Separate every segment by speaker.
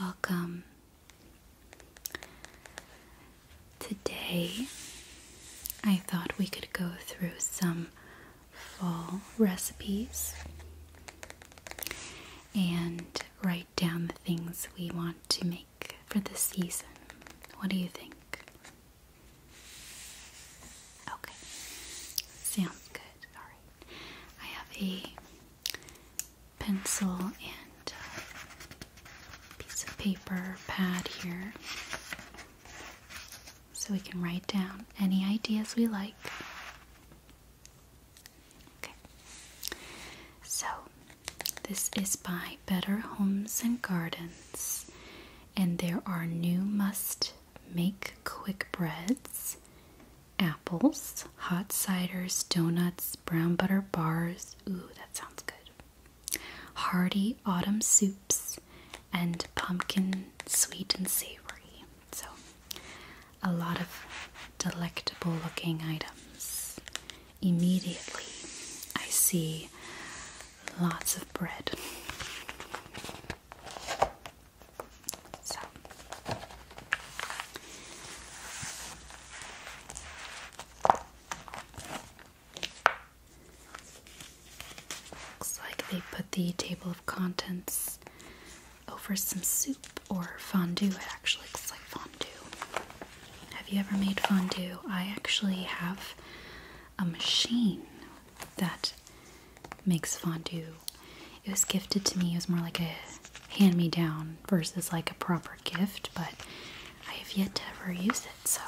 Speaker 1: Welcome. Today, I thought we could go through some fall recipes and write down the things we want to make for the season. What do you think? Okay, sounds good. All right, I have a pencil and piece of paper pad here so we can write down any ideas we like. Okay, so this is by Better Homes and Gardens, and there are new must make quick breads, apples, hot ciders, donuts, brown butter bars. Ooh, that sounds good. Hearty autumn soups and pumpkin sweet and savory. So, a lot of delectable looking items. Immediately, I see lots of bread. So looks like they put the table of contents over some soup or fondue. It actually looks like fondue. Have you ever made fondue? I actually have a machine that makes fondue. It was gifted to me. It was more like a hand me down versus like a proper gift, but I have yet to ever use it, so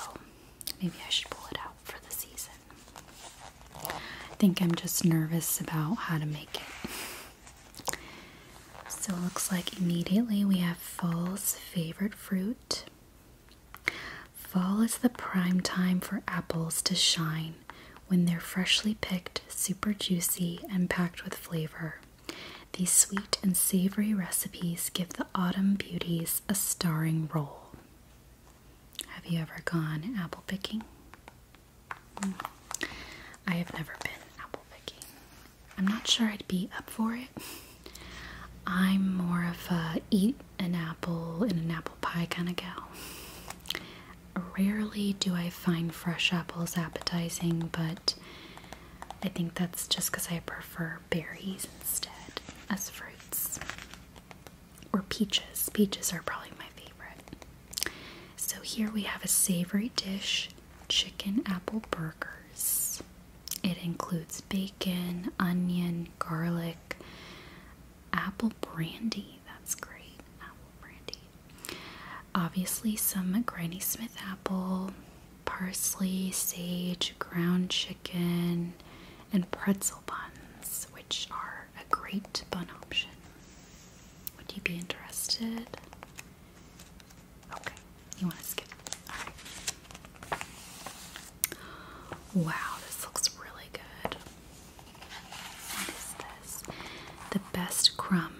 Speaker 1: maybe I should pull it out for the season. I think I'm just nervous about how to make it. So it looks like immediately we have fall's favorite fruit. Fall is the prime time for apples to shine when they're freshly picked, super juicy, and packed with flavor. These sweet and savory recipes give the autumn beauties a starring role. Have you ever gone apple picking? Mm. I have never been apple picking. I'm not sure I'd be up for it. I'm more of a eat an apple in an apple pie kind of gal. Rarely do I find fresh apples appetizing, but I think that's just because I prefer berries instead as fruits. Or peaches. Peaches are probably my favorite. So here we have a savory dish chicken apple burgers. It includes bacon, onion, garlic, apple brandy. That's great. Apple brandy. Obviously, some Granny Smith apple, parsley, sage, ground chicken, and pretzel buns, which are a great bun option. Would you be interested? Okay, you want to skip. Wow, this looks really good. What is this? The best crumb.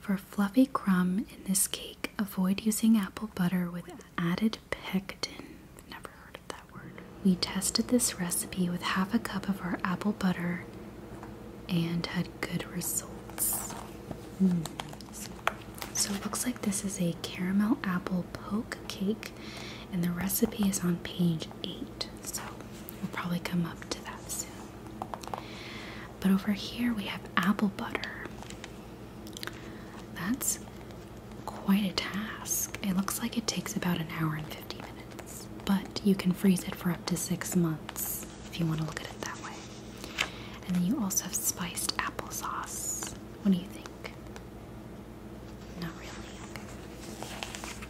Speaker 1: For fluffy crumb in this cake, avoid using apple butter with added pectin. Never heard of that word. We tested this recipe with half a cup of our apple butter and had good results. Mm. So it looks like this is a caramel apple poke cake and the recipe is on page 8, so we'll probably come up to that soon. But over here we have apple butter. That's quite a task. It looks like it takes about an hour and 50 minutes, but you can freeze it for up to six months if you want to look at it that way. And then you also have spiced applesauce. What do you think? Not really.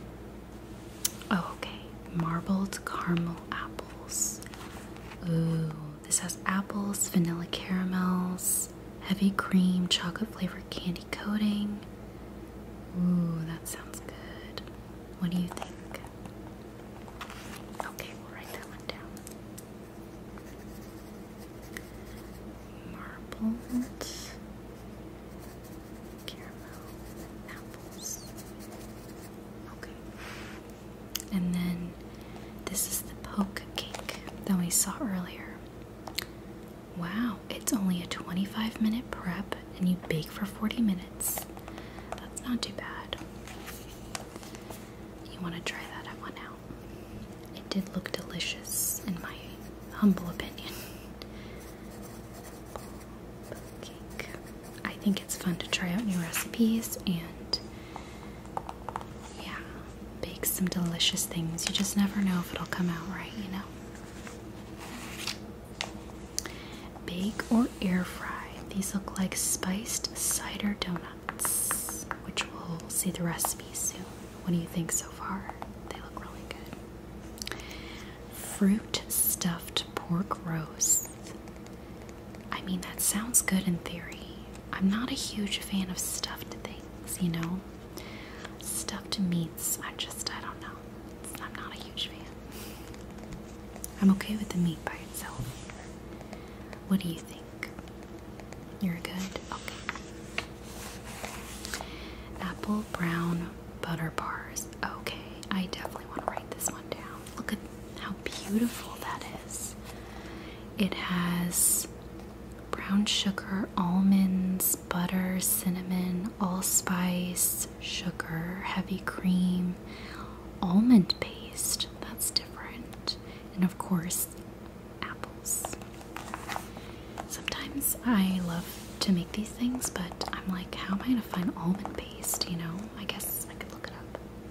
Speaker 1: Oh, okay. Marbled caramel apples. Ooh, this has apples, vanilla caramels, heavy cream, chocolate flavored candy coating. Ooh, that sounds good. What do you think? Okay, we'll write that one down marbles, caramel, apples. Okay. And then this is the poke cake that we saw earlier. Wow, it's only a 25 minute prep and you bake for 40 minutes. That's not too bad. You want to try that one now? It did look delicious in my humble opinion. I think it's fun to try out new recipes and yeah, bake some delicious things. You just never know if it'll come out right, you know. Bake or air fry. These look like spiced cider donuts, which we'll see the recipe soon. What do you think so far? They look really good. Fruit stuffed pork roast. I mean, that sounds good in theory. I'm not a huge fan of stuffed things, you know? Stuffed meats, I just, I don't know. I'm not a huge fan. I'm okay with the meat by itself. What do you think? You're good? Okay. Apple brown butter bars. Okay, I definitely want to write this one down. Look at how beautiful that is. It has brown sugar, almonds, butter, cinnamon, allspice, sugar, heavy cream, almond paste. That's different. And of course, apples. Sometimes I love to make these things, but I'm like, how am I gonna find almond paste? You know, I guess I could look it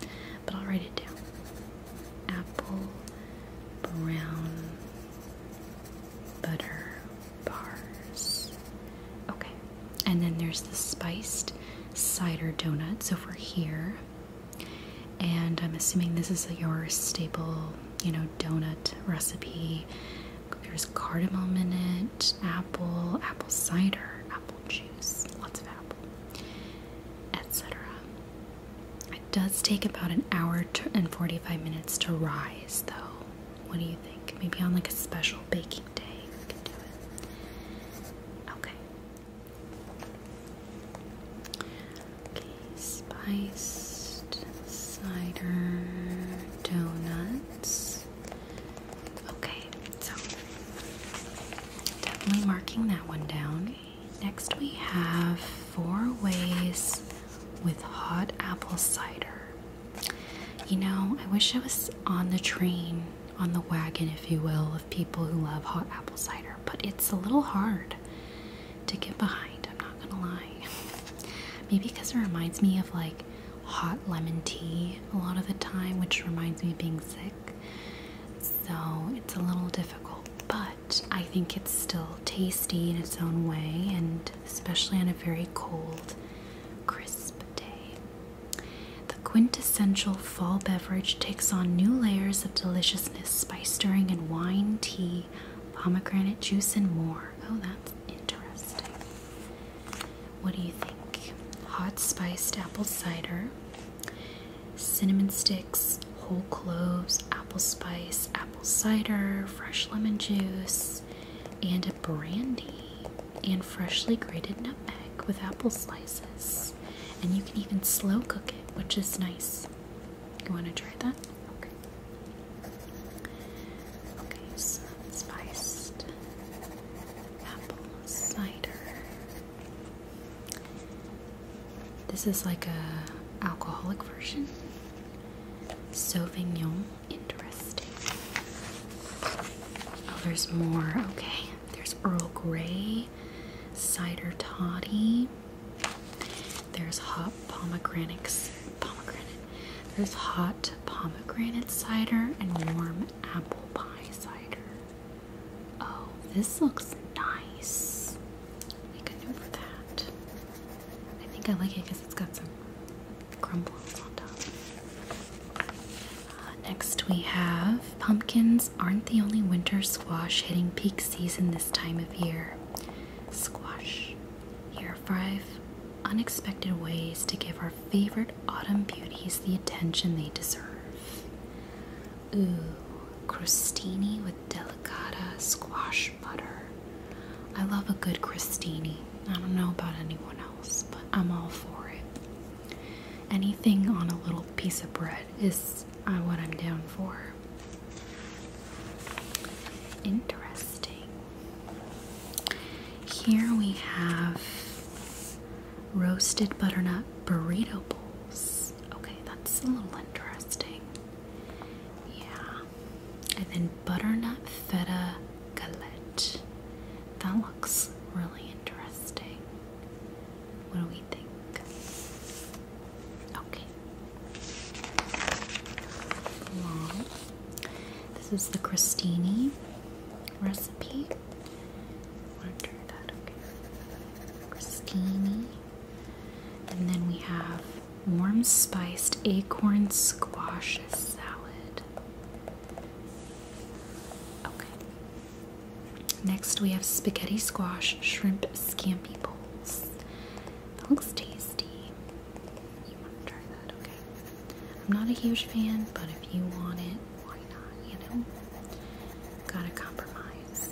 Speaker 1: up, but I'll write it down. Apple brown butter bars. Okay, and then there's the spiced cider donut. over here, and I'm assuming this is your staple, you know, donut recipe. There's cardamom in it, apple, apple cider, apple juice, lots of apple, etc. It does take about an hour and 45 minutes to rise, though. What do you think? Maybe on like a special baking day, we can do it. Okay. Okay, spiced cider donuts. Okay, so definitely marking that one down. Next, we have four ways with hot apple cider. You know, I wish I was on the train, on the wagon, if you will, of people who love hot apple cider, but it's a little hard to get behind. I'm not gonna lie. Maybe because it reminds me of like hot lemon tea a lot of the time, which reminds me being sick. So it's a little difficult, but I think it's still tasty in its own way, and especially on a very cold, crisp day. The quintessential fall beverage takes on new layers of deliciousness by stirring in wine, tea, pomegranate juice, and more. Oh, that's interesting. What do you think? Hot spiced apple cider, cinnamon sticks, whole cloves, apple spice, apple cider, fresh lemon juice, and brandy, and freshly grated nutmeg with apple slices. And you can even slow cook it, which is nice. You want to try that? Okay. Okay, spiced apple cider. This is like a alcoholic version. Sauvignon, interesting. Oh, there's more. Okay, there's Earl Grey, cider toddy. There's hot pomegranates, pomegranate there's hot pomegranate cider and warm apple pie cider. Oh, this looks nice. Make a note for that. I think I like it because it's got some crumbles on top. Uh, next, we have pumpkins aren't the only winter squash hitting peak season this time of year. Squash. Here five unexpected ways to give our favorite autumn beauties the attention they deserve. Ooh, crostini with delicata squash butter. I love a good crostini. I don't know about anyone else, but I'm all for it. Anything on a little piece of bread is uh, what I'm down for. Interesting. Here we have roasted butternut burrito bowls. Okay, that's a little interesting. Yeah. And then butternut feta galette. That looks really interesting. What do we think? Okay. This is the Crostini recipe. Wonder that okay. Crostini. And then we have warm spiced acorn squash salad. Okay. Next we have spaghetti squash shrimp scampi bowls. That looks tasty okay? I'm not a huge fan, but if you want it, why not, you know? Gotta compromise.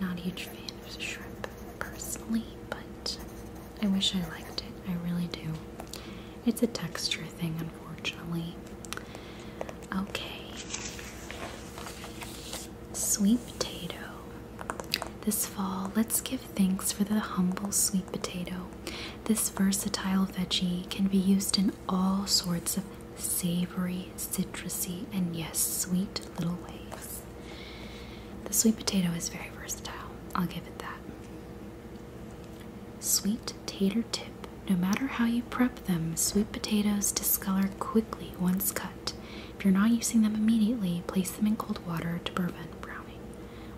Speaker 1: Not a huge fan of shrimp, personally, but I wish I liked it. I really do. It's a texture thing, unfortunately. Okay. Sweet potato. This fall, let's give thanks for the humble sweet potato. This versatile veggie can be used in all sorts of savory, citrusy, and yes, sweet little ways. The sweet potato is very versatile, I'll give it that. Sweet tater tip. No matter how you prep them, sweet potatoes discolor quickly once cut. If you're not using them immediately, place them in cold water to prevent browning,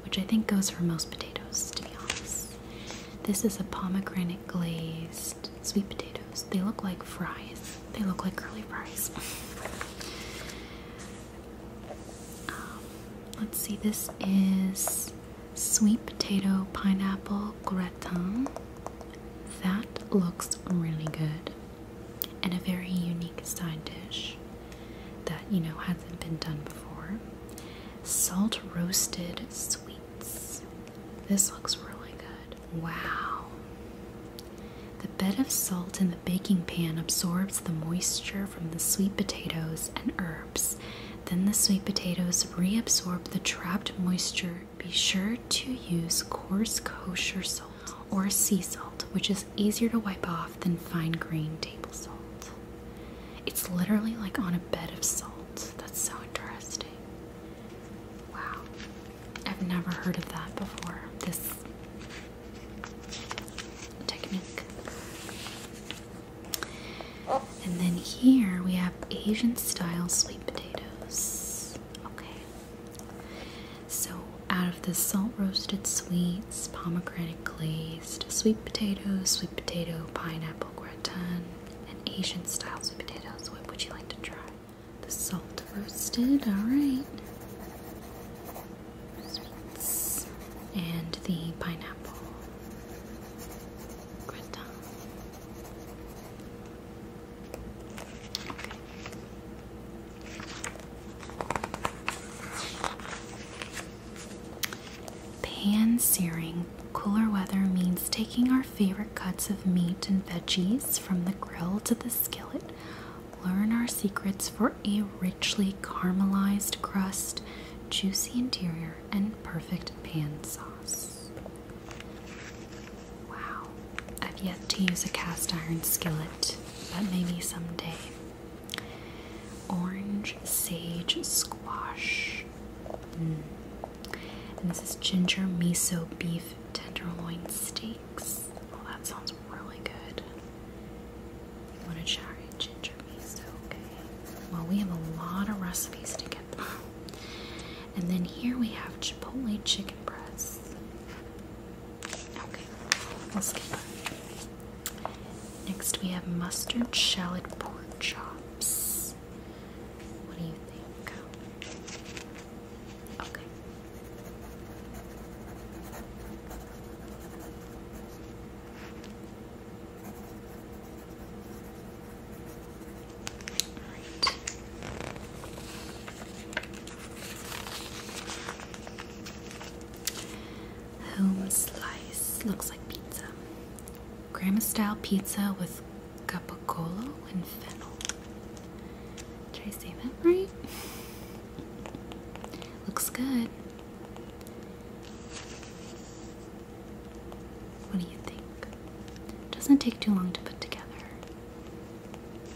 Speaker 1: which I think goes for most potatoes, to be honest. This is a pomegranate glazed sweet potatoes. They look like fries, they look like curly fries. Um, let's see, this is sweet potato pineapple gratin. That looks really good and a very unique side dish that you know hasn't been done before. Salt roasted sweets. This looks really good. Wow. The bed of salt in the baking pan absorbs the moisture from the sweet potatoes and herbs. Then the sweet potatoes reabsorb the trapped moisture. Be sure to use coarse kosher salt or sea salt, which is easier to wipe off than fine grained table salt. It's literally like on a bed of salt. That's so interesting. Wow. I've never heard of that before. This technique. And then here we have Asian style sweet potatoes. Okay. So, out of the salt roasted sweets, pomegranate glazed, sweet potato, sweet potato, pineapple gratin, and Asian style sweet potatoes, what would you like to try? The salt roasted, alright. Sweets. And the pineapple gratin. Pan searing. Cooler weather means taking our favorite cuts of meat and veggies from the grill to the skillet. Learn our secrets for a richly caramelized crust, juicy interior, and perfect pan sauce. Wow, I've yet to use a cast iron skillet but maybe someday. Orange sage squash. Hmm. And this is ginger miso beef tenderloin steaks. Well, that sounds really good. You want to try ginger miso? Okay. Well, we have a lot of recipes to get through. And then here we have chipotle chicken breasts. Next we have mustard shallot pork chops. What do you think? Home slice looks like pizza. Grandma style pizza with capicola and fennel. Did I say that right? Looks good. What do you think? Doesn't take too long to put together.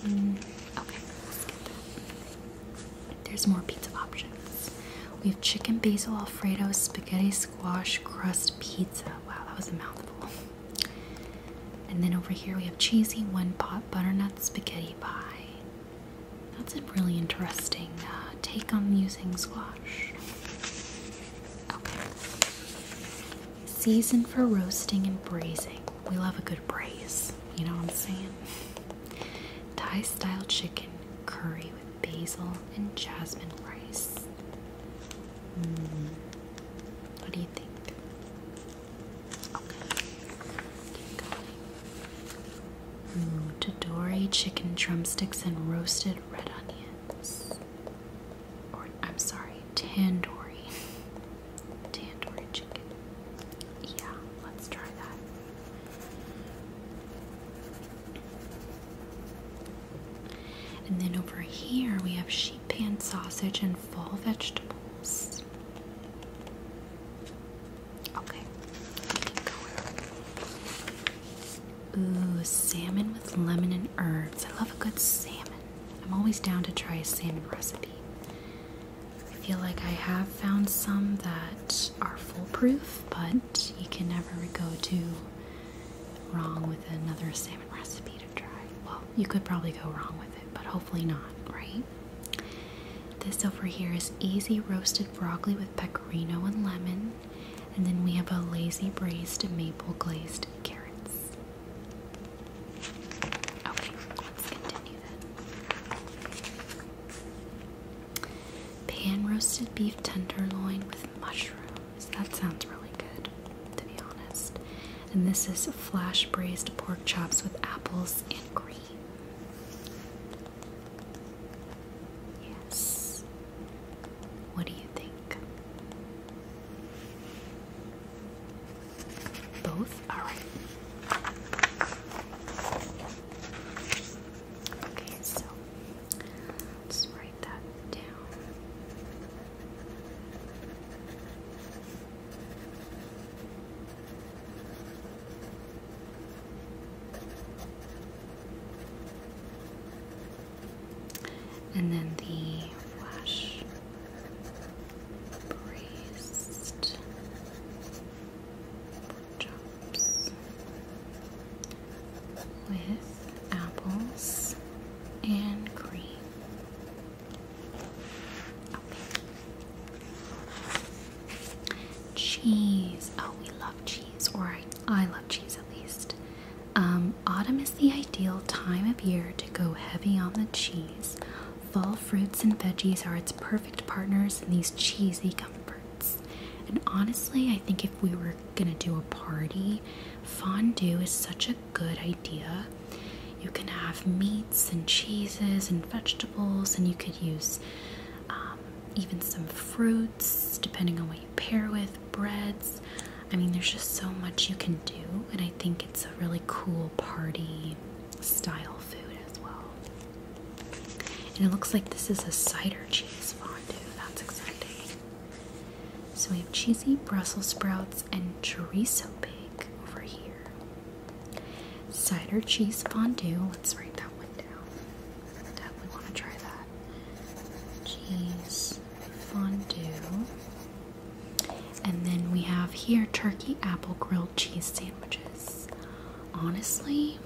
Speaker 1: Mm. There's more pizza options. We have chicken basil alfredo, spaghetti squash, crust pizza. Wow, that was a mouthful. And then over here we have cheesy one pot butternut spaghetti pie. That's a really interesting uh, take on using squash. Okay. Season for roasting and braising. We love a good braise. You know what I'm saying? Thai style chicken curry with basil and jasmine rice. Mm. What do you think? Okay, keep Tadori chicken drumsticks and roasted red onions. Or, I'm sorry, tandoori Tandoori chicken. Yeah, let's try that. And then over here we have sheet pan sausage and fall vegetables. Okay, Ooh, salmon with lemon and herbs. I love a good salmon. I'm always down to try a salmon recipe. I feel like I have found some that are foolproof, but you can never go too wrong with another salmon recipe to try. Well, you could probably go wrong with it, but hopefully not, right? This over here is easy roasted broccoli with pecorino and lemon. And then we have a lazy braised maple glazed carrots. Okay, let's continue then. Pan roasted beef tenderloin with mushrooms. That sounds really good, to be honest. And this is flash braised pork chops with apples and cream. Yes. What do you think? Both? Alright. Okay, so let's write that down. And then the flash braced chops with apples and cream. Cheese. Oh, we love cheese, or I, I love cheese at least. Um, autumn is the ideal time of year to go heavy on the cheese. Fall fruits and veggies are its perfect partners in these cheesy comforts. And honestly, I think if we were gonna do a party, fondue is such a good idea. You can have meats and cheeses and vegetables, and you could use um, even some fruits depending on what you pair with, breads. I mean, there's just so much you can do, and I think it's a really cool party style food as well. And it looks like this is a cider cheese fondue. That's exciting. So we have cheesy Brussels sprouts and chorizo bake over here. Cider cheese fondue. Let's write that one down. Definitely want to try that. Cheese fondue. And then we have here turkey apple grilled cheese sandwiches honestly,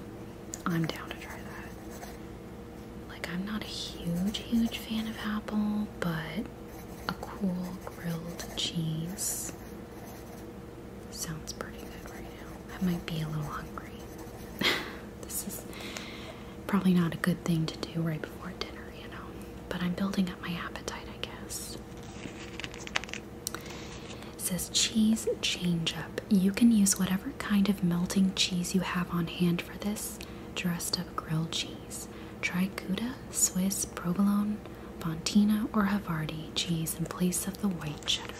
Speaker 1: I'm down to try that. Like, I'm not a huge, huge fan of apple, but a cool grilled cheese sounds pretty good right now. I might be a little hungry. this is probably not a good thing to do right before dinner, you know, but I'm building up my appetite, I guess says cheese change up. You can use whatever kind of melting cheese you have on hand for this dressed up grilled cheese. Try Gouda, Swiss, provolone, Fontina, or Havarti cheese in place of the white cheddar.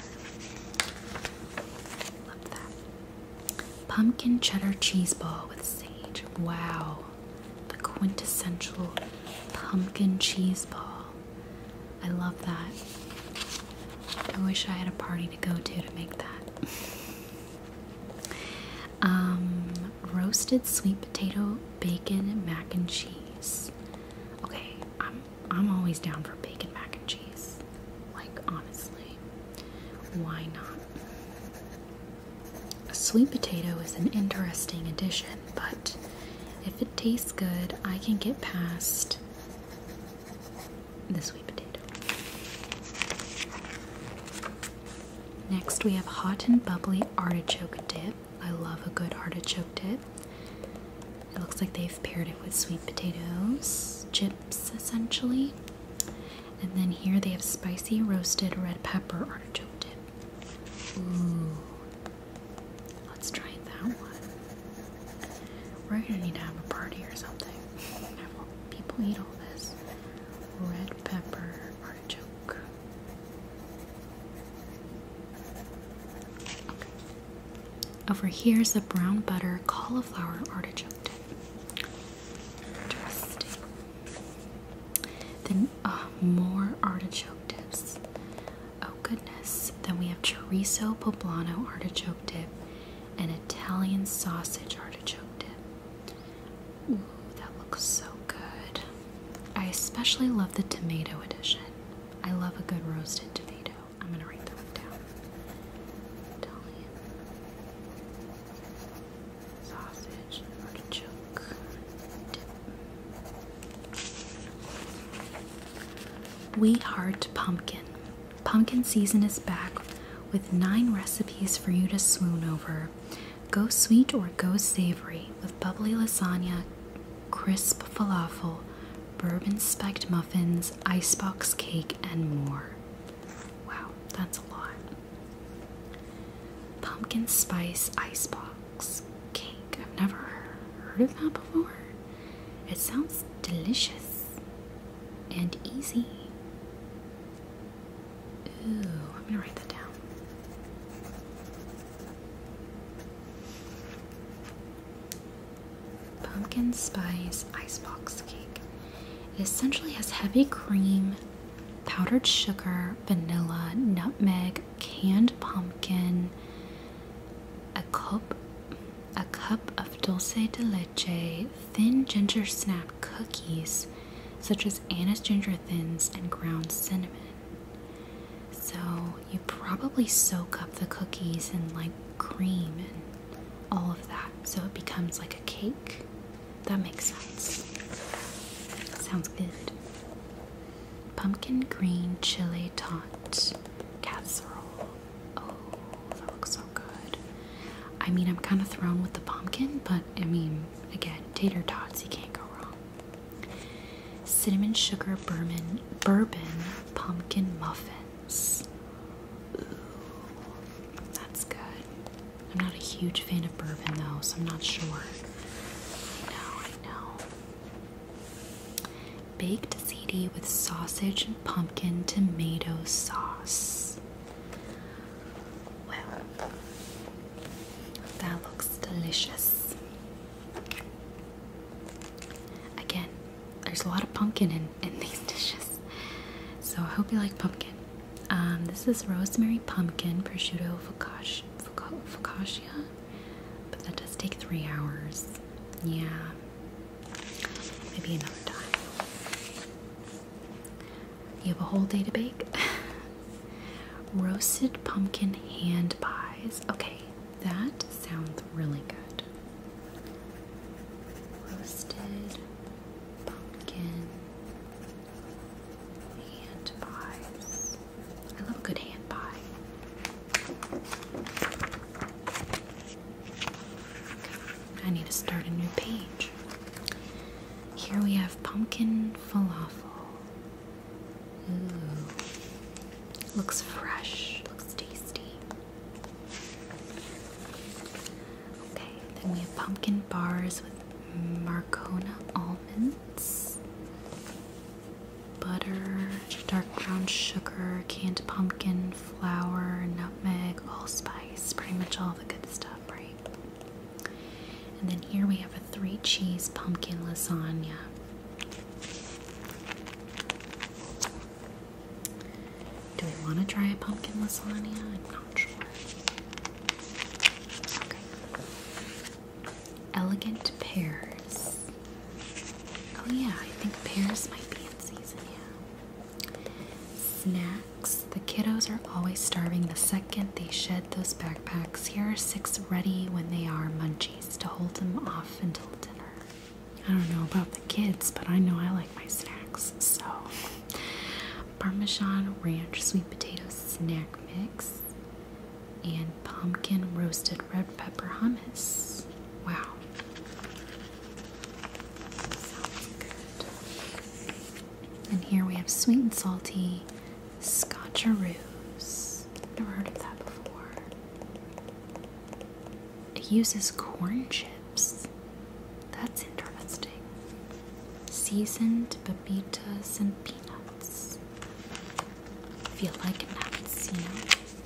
Speaker 1: Love that. Pumpkin cheddar cheese ball with sage. Wow, the quintessential pumpkin cheese ball. I love that. I wish I had a party to go to to make that. um, roasted sweet potato, bacon, mac and cheese. Okay, I'm I'm always down for bacon mac and cheese. Like honestly, why not? A sweet potato is an interesting addition, but if it tastes good, I can get past the sweet potato. Next, we have hot and bubbly artichoke dip. I love a good artichoke dip. It looks like they've paired it with sweet potatoes, chips essentially. And then here they have spicy roasted red pepper artichoke dip. Let's try that one. We're gonna need to have a party or something. People eat all this. Red pepper artichoke. Over here is the brown butter cauliflower artichoke dip. Interesting. Then uh, more artichoke dips. Oh goodness. Then we have chorizo poblano artichoke dip and Italian sausage artichoke dip. Ooh, that looks so good. I especially love the tomato edition. I love a good roasted tomato. I'm gonna write that down. Italian sausage artichoke dip. We Heart Pumpkin. Pumpkin season is back with nine recipes for you to swoon over. Go sweet or go savory with bubbly lasagna, crisp falafel, bourbon spiked muffins, icebox cake, and more. Wow, that's a lot. Pumpkin spice icebox cake. I've never heard of that before. It sounds delicious and easy. Ooh, I'm gonna write that down. Pumpkin spice icebox cake. It essentially has heavy cream, powdered sugar, vanilla, nutmeg, canned pumpkin, a cup, a cup of dulce de leche, thin ginger snap cookies, such as Anna's ginger thins and ground cinnamon. So you probably soak up the cookies in like cream and all of that, so it becomes like a cake. That makes sense. Sounds good. Pumpkin green chili tot casserole. Oh, that looks so good. I mean, I'm kind of thrown with the pumpkin, but I mean, again, tater tots, you can't go wrong. Cinnamon sugar bourbon, bourbon pumpkin muffins. Ooh, that's good. I'm not a huge fan of bourbon though, so I'm not sure. I know, I know. Baked ziti with sausage and pumpkin tomato sauce. Well, that looks delicious. Again, there's a lot of pumpkin in, in these dishes. So I hope you like pumpkin. Um, this is rosemary pumpkin prosciutto focaccia. Focaccia? But that does take three hours. Yeah. Maybe another time. You have a whole day to bake? Roasted pumpkin hand pies. Okay, that sounds really good. Roasted pumpkin hand pies. I love a good hand pie. I need to start a new page. Here we have pumpkin falafel. Ooh. Looks fresh. Looks tasty. Okay, then we have pumpkin bars with Marcona almonds butter, dark brown sugar, canned pumpkin, flour, nutmeg, allspice, pretty much all the good stuff, right? And then here we have a three cheese pumpkin lasagna. Do we want to try a pumpkin lasagna? I'm not sure. Elegant pears. Oh yeah, I think pears might be in season, yeah. Snacks. The kiddos are always starving the second they shed those backpacks. Here are six ready when they are munchies to hold them off until dinner. I don't know about the kids, but I know I like my snacks, so Parmesan ranch sweet potato snack mix and pumpkin roasted red pepper hummus. Wow. And here we have sweet and salty scotcheroos. Never heard of that before. It uses corn chips. That's interesting. Seasoned babitas and peanuts. Feel like nuts, you know?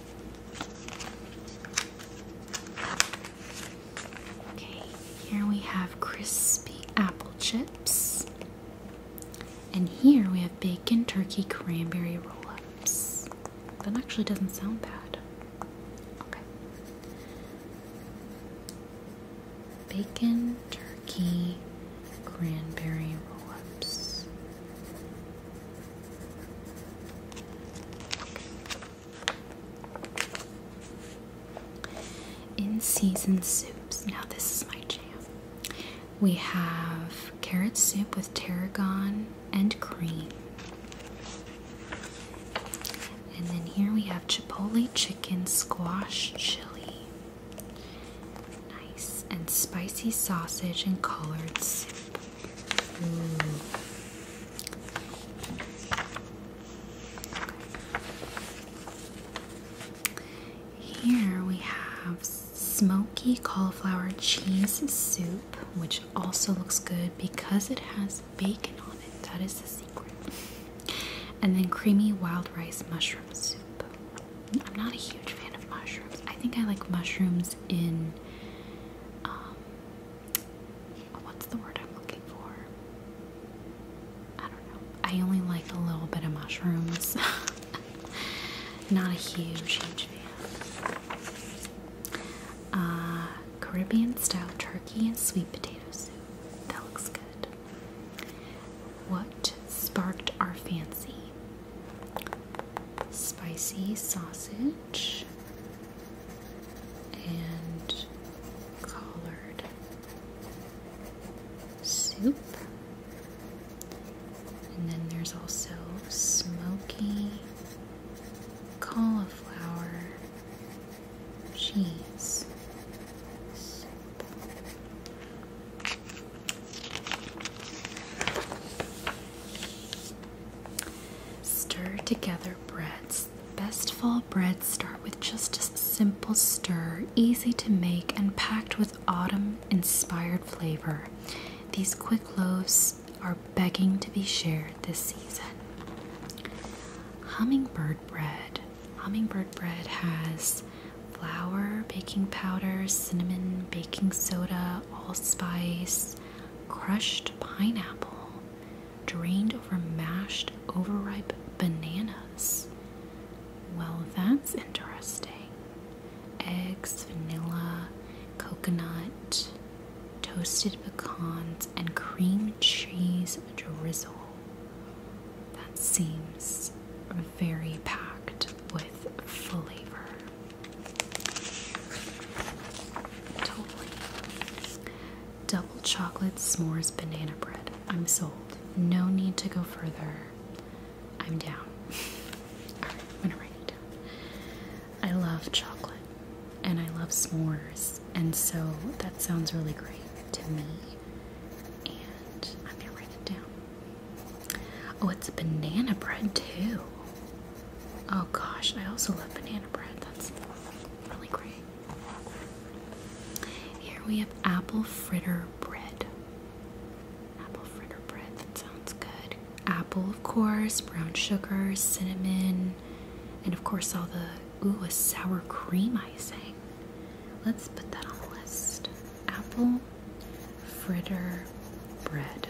Speaker 1: Okay, here we have crispy apple chips. And here we have bacon turkey cranberry roll ups. That actually doesn't sound bad. Okay. Bacon turkey cranberry roll ups. In season soups, now this is my jam. We have carrot soup with tarragon and cream. And then here we have chipotle chicken squash chili. Nice. And spicy sausage and collard soup. Here we have smoky cauliflower cheese soup, which also looks good because it has bacon on it. That is the secret. And then creamy wild rice mushroom soup. I'm not a huge fan of mushrooms. I think I like mushrooms in um, what's the word I'm looking for? I don't know. I only like a little bit of mushrooms. Not a huge, huge fan. Uh, Caribbean style turkey and sweet potato soup. That looks good. What sparked our fancy? spicy sausage and collard soup. And then there's also smoky cauliflower cheese Stir together breads. Best fall breads start with just a simple stir, easy to make and packed with autumn inspired flavor. These quick loaves are begging to be shared this season. Hummingbird bread. Hummingbird bread has flour, baking powder, cinnamon, baking soda, allspice, crushed pineapple, drained over mashed overripe bananas. Well, that's interesting. Eggs, vanilla, coconut, toasted pecans, and cream cheese drizzle. That seems very packed with flavor. Double chocolate s'mores banana bread. I'm sold. No need to go further. I'm down. Alright, I'm gonna write it down. I love chocolate and I love s'mores, and so that sounds really great to me. And I'm gonna write it down. Oh, it's banana bread too. Oh gosh, I also love banana bread. That's really great. Here we have apple fritter bread. Apple fritter bread, that sounds good. Apple, of course, brown sugar, cinnamon, and of course, all the ooh, a sour cream icing. Let's put that on the list. Apple fritter bread.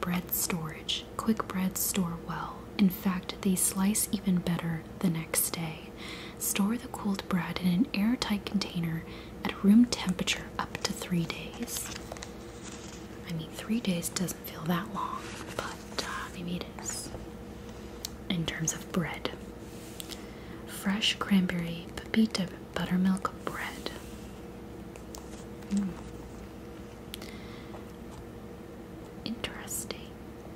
Speaker 1: Bread storage. Quick breads store well. In fact, they slice even better the next day. Store the cooled bread in an airtight container at room temperature up to three days. I mean, three days doesn't feel that long, but uh, maybe it is. In terms of bread, fresh cranberry, pepita buttermilk bread. Hmm. Interesting.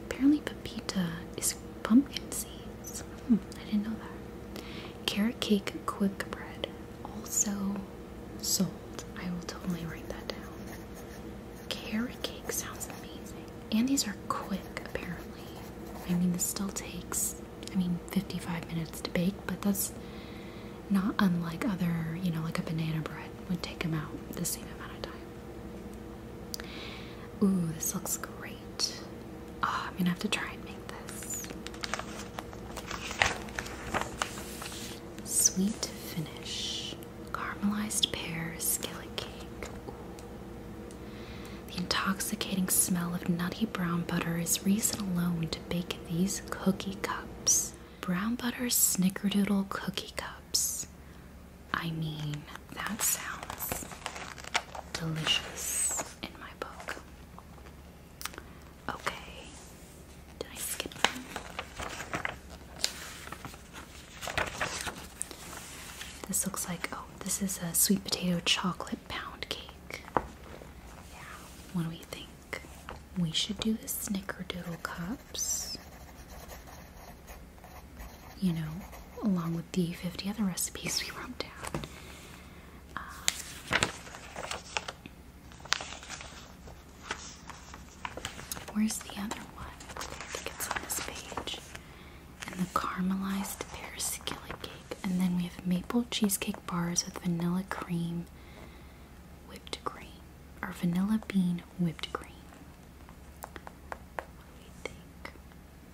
Speaker 1: Apparently, pepita is pumpkin seeds. Hmm, I didn't know that. Carrot cake quick bread also salt. I will totally write that down. Carrot cake sounds amazing. And these are quick, apparently. I mean, this still takes I mean, 55 minutes to bake, but that's not unlike other, you know, like a banana bread would take them out the same amount of time. Ooh, this looks great. Ah, I'm gonna have to try and make this. Sweet finish. Caramelized pear skillet cake. The intoxicating smell of nutty brown butter is reason alone to bake these cookie cups. Brown butter snickerdoodle cookie cups. I mean, that sounds delicious in my book. Okay, did I skip one? This looks like, oh, this is a sweet potato chocolate pound cake. Yeah, what do we think? We should do the snickerdoodle cups. You know, along with the 50 other recipes we wrote down. Um, where's the other one? I think it's on this page. And the caramelized pear skillet cake. And then we have maple cheesecake bars with vanilla cream whipped cream. Or vanilla bean whipped cream. We think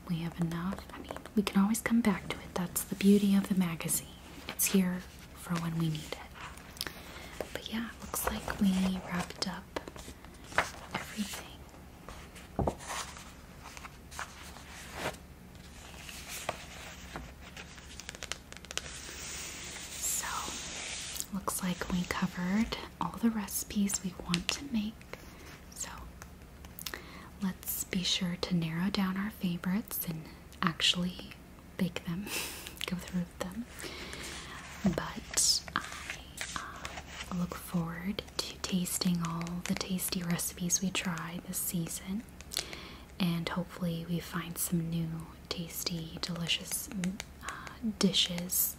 Speaker 1: we have enough. I mean, we can always come back to it. That's the beauty of the magazine. It's here for when we need it. But yeah, looks like we wrapped up everything. So, looks like we covered all the recipes we want to make. So, let's be sure to narrow down our favorites and actually bake them, go through them. But I uh, look forward to tasting all the tasty recipes we try this season and hopefully we find some new tasty delicious mm, uh, dishes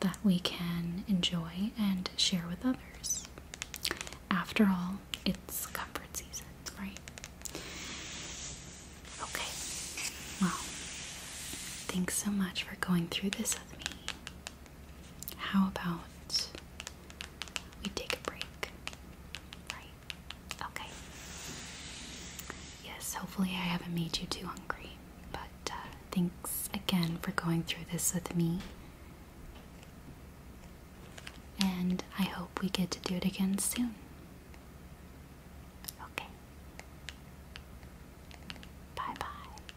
Speaker 1: that we can enjoy and share with others after all it's comfort season right okay well thanks so much for going through this with me how about we take a break right Okay. Yes, hopefully, I haven't made you too hungry. But uh, thanks again for going through this with me. And I hope we get to do it again soon. Okay. Bye bye.